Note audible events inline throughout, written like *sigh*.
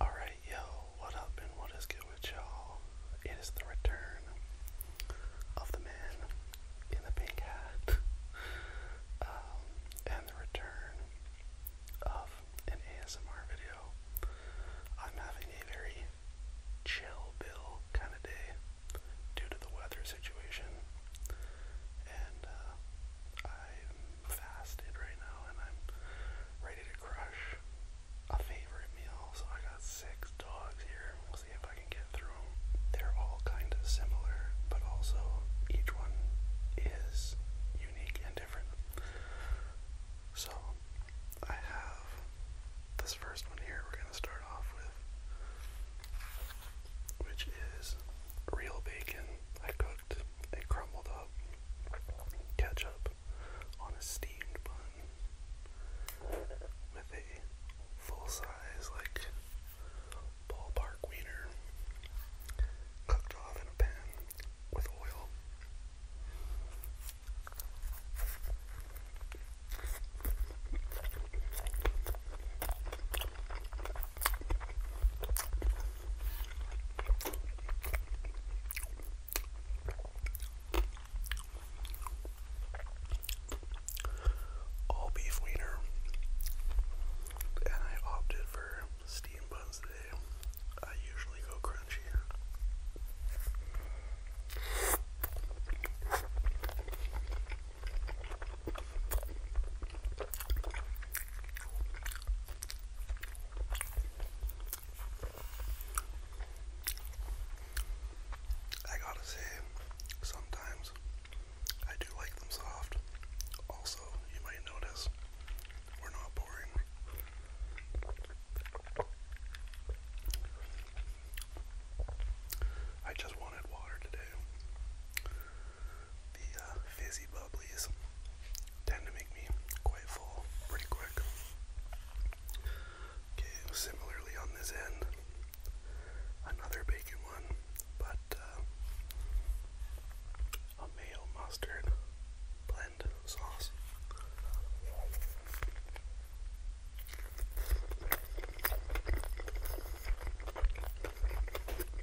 Alright, yo, what up and what is good with y'all? It is the return of the man in the pink hat *laughs* um, and the return of an ASMR video. I'm having a very chill bill kind of day due to the weather situation, and uh, i fasted right now and I'm ready to crush a favorite meal. So I got six dogs here. We'll see if I can get through them. They're all kind of similar, but also each one is unique and different. So I have this first one here we're going to start off with, which is real bacon. I cook cooked, they crumbled up ketchup on a steamed bun with a full size, like ballpark wiener cooked off in a pan with oil all beef wiener, and I opted for steam buns today. I usually go crunchier. I gotta say, sometimes I do like them soft. Also, you might notice we're not boring. I just wanted water today the uh, fizzy bubblies tend to make me quite full pretty quick. similarly on this end, another bacon one, but uh, a mayo mustard blend sauce.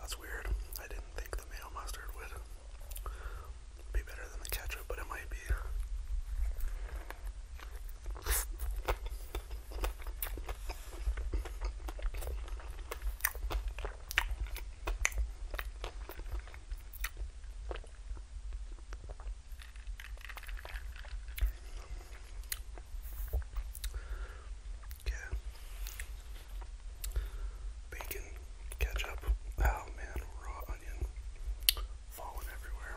That's weird. I didn't think the mayo mustard would be better than the ketchup, but it might be. Yeah, bacon, ketchup. Oh man, raw onion falling everywhere.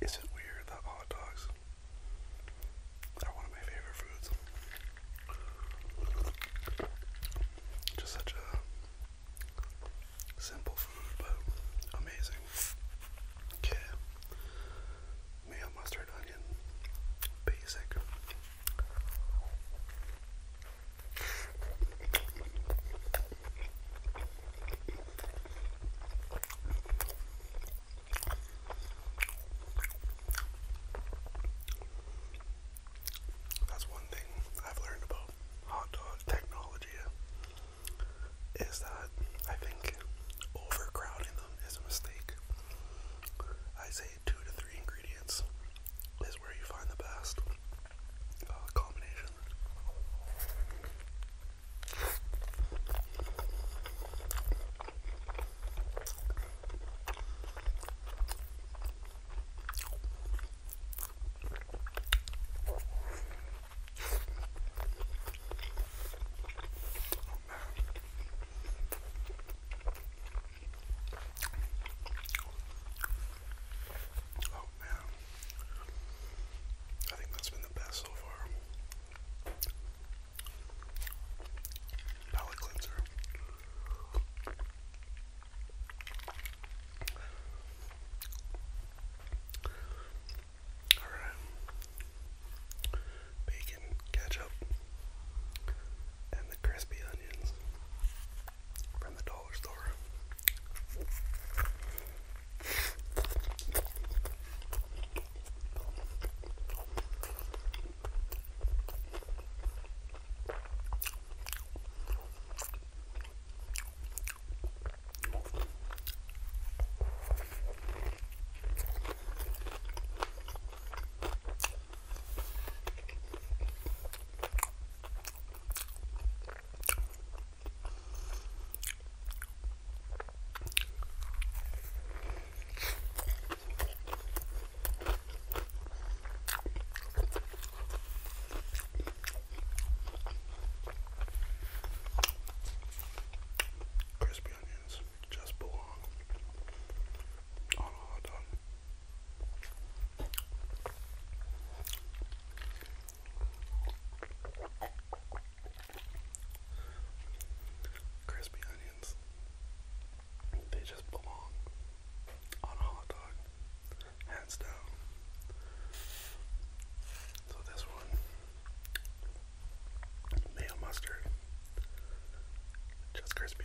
Is it weird that hot dogs are one of my favorite foods? Just such a simple food, but amazing. Okay. Mayo, mustard, onion, basic. That's one thing I've learned about hot dog technology is that I think overcrowding them is a mistake. I say two to three ingredients is where you find the best uh, combination. Oh, Oh man, I think that's been the best so far. Palette cleanser. All right, bacon, ketchup, and the crispy onions from the dollar store. Crispy onions just belong Hold Crispy onions. They just belong on a hot dog. Hands down. So this one, mayo mustard, just crispy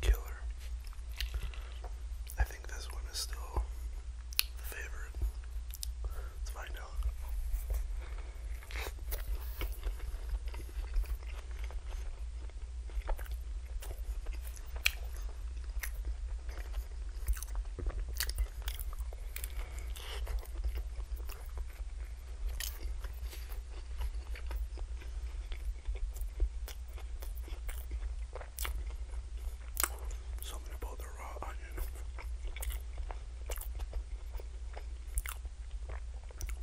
Killer. I think this one is still favorite. Let's find out. Something about the raw onion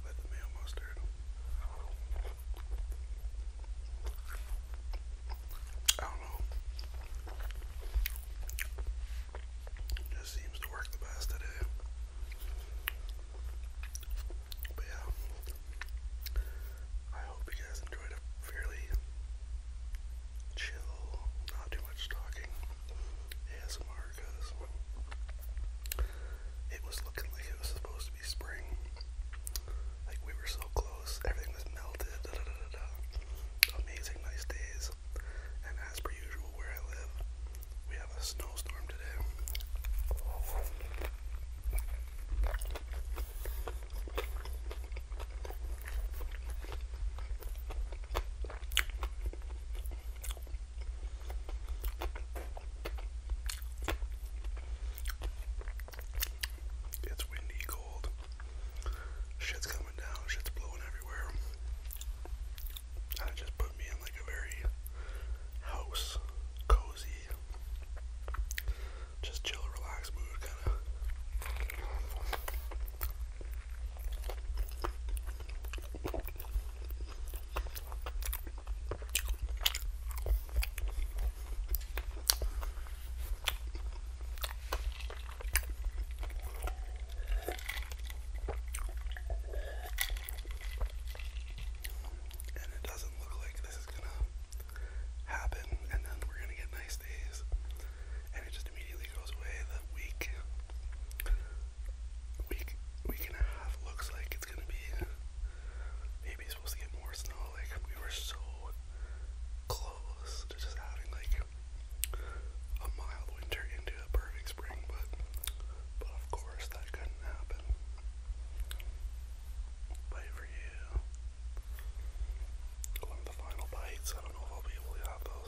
with the mayo mustard. I it just seems to work the best today. But yeah, I hope you guys enjoyed a fairly chill, not too much talking ASMR because it was looking like it was supposed spring. Like we were so close, everything was melted. Amazing, nice days. And as per usual, where I live, we have a snowstorm today. It's windy, cold. Shit's coming down, shit's blowing everywhere. And just put me in like a very house, cozy, just chill, relaxed mood, kind of. And it doesn't look like this is gonna happen, and then we're gonna get nice days, and it just immediately goes away. The week, week, week and a half looks like it's gonna be maybe supposed to get more snow. Like we were so close to just having like a mild winter into a perfect spring, but but of course that couldn't happen. Bite for you. One of the final bites. I don't know if I'll be able to have those.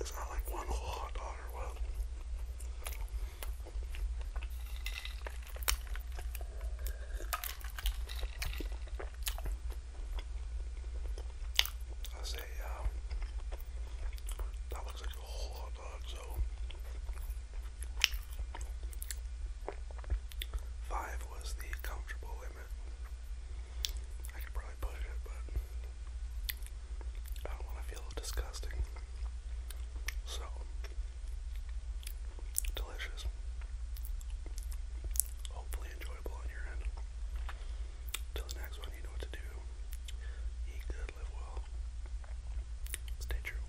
It's not like one whole hot dog or what. I say, um, that looks like a whole hot dog, so five was the comfortable I could probably push it, but I don't want to feel disgusting. So, delicious. Hopefully, enjoyable on your end. Till the next one, you know what to do. Eat good, live well. Stay true.